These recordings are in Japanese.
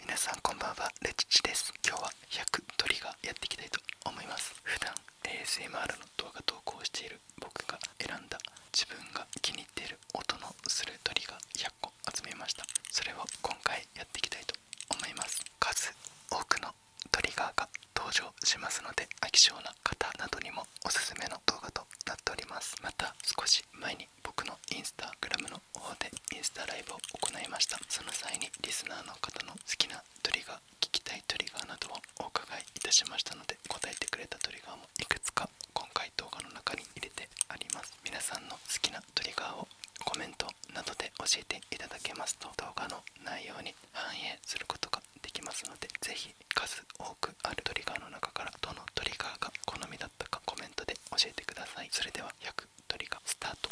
皆さんこんばんはレチチです今日は100鳥がやっていきたいと思います普段 ASMR の動画投稿している僕が選んだ自分が気に入っている音のする鳥が100個集めましたそれを今回やっていきたいと思います数多くのトリガーが登場しますので飽き性な方などにもおすすめの動画となっておりますまた少し前に僕の instagram の方でインスタライブを行いましたその際にリスナーの方の好きなトリガー聞きたいトリガーなどをお伺いいたしましたので答えてくれたトリガーガーもいくつか今回動画の中に入れてあります皆さんの好きなトリガーをコメントなどで教えていただけますと動画の内容に反映することができますのでぜひ数多くあるトリガーの中からどのトリガーが好みだったかコメントで教えてくださいそれでは100トリガースタート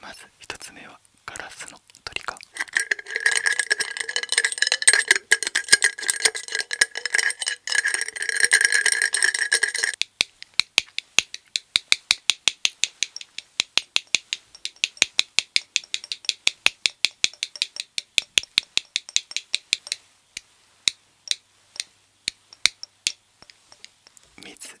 まず1つ目はガラスの鳥か水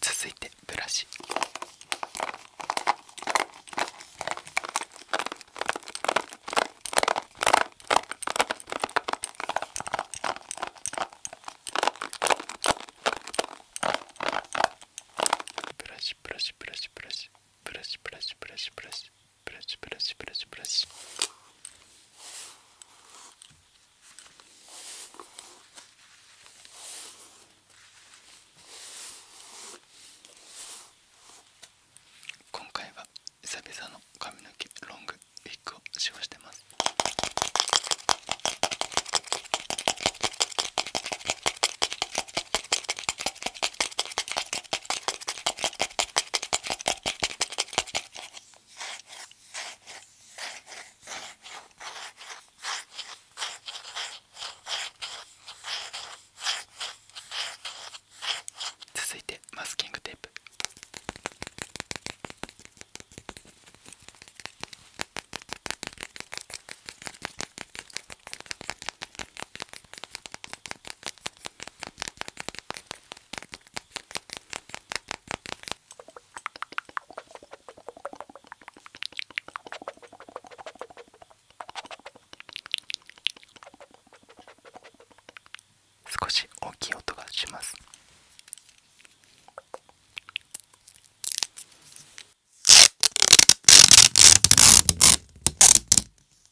続いてブラシブラシブラシブラシブラシブラシブラシブラシブラシブラシブラシブラシブラシ今回は久々の髪の毛ロングウィッグを使用してます続いてマスキングテープ少し大きい音がします。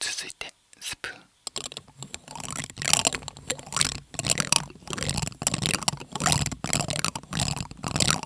続いてスプーン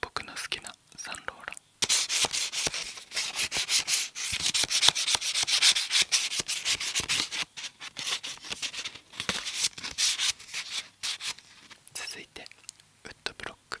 僕の好きなサンローラン続いてウッドブロック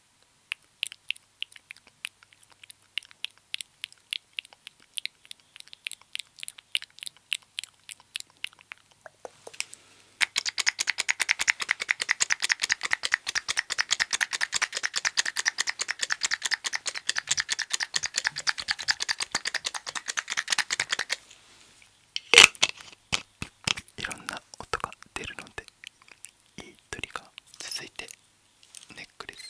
いろんな音が出るのでいいトリガ続いてネックレス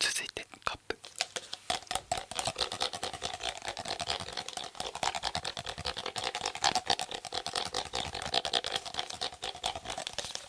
続いてカップ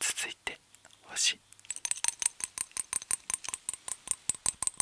続いて星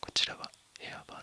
こちらはエアバンド。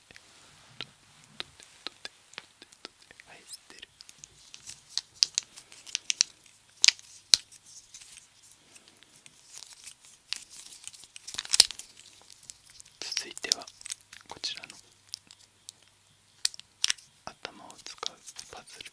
ってはい吸ってる続いてはこちらの頭を使うパズル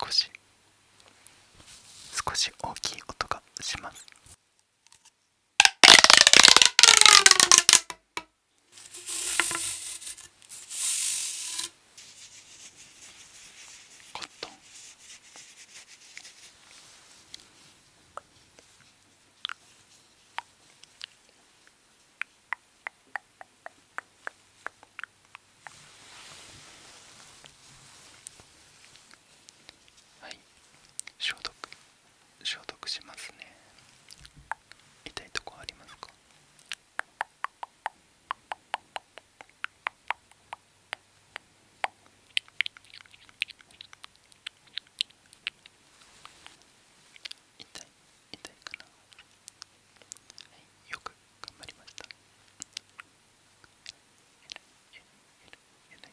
少し少し大きい音がします。コットンはい消毒消毒しますね痛いとこありますか痛い痛いかなはいよく頑張りましたえらい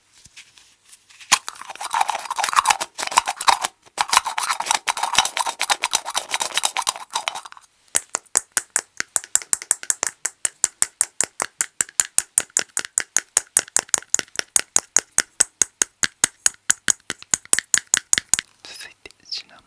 続いてシナモン。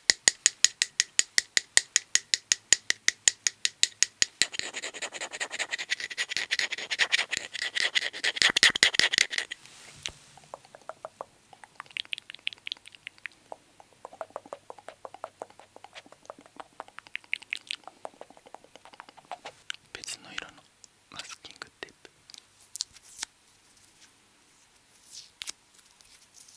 別の色のマスキングテープ。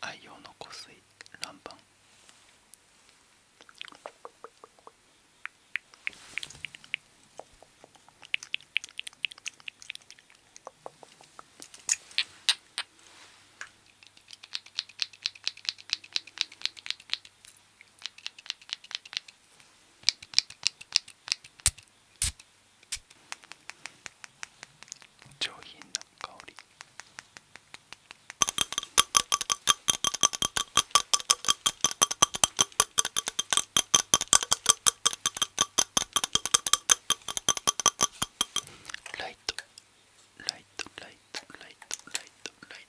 愛用の湖水ランパン上品な香りライトライトライトライトライトライ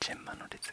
ジェンマの列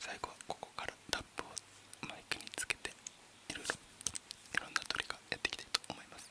最後はここからタップをマイクにつけていろいろいろんな鳥がやっていきたいと思います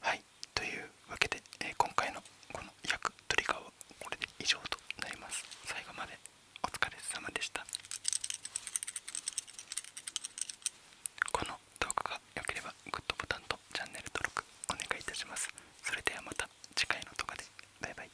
はいというわけで、え今回のこの役トリガーはこれで以上となります最後までお疲れ様でしたこの動画が良ければグッドボタンとチャンネル登録お願いいたしますそれではまた次回の動画でバイバイ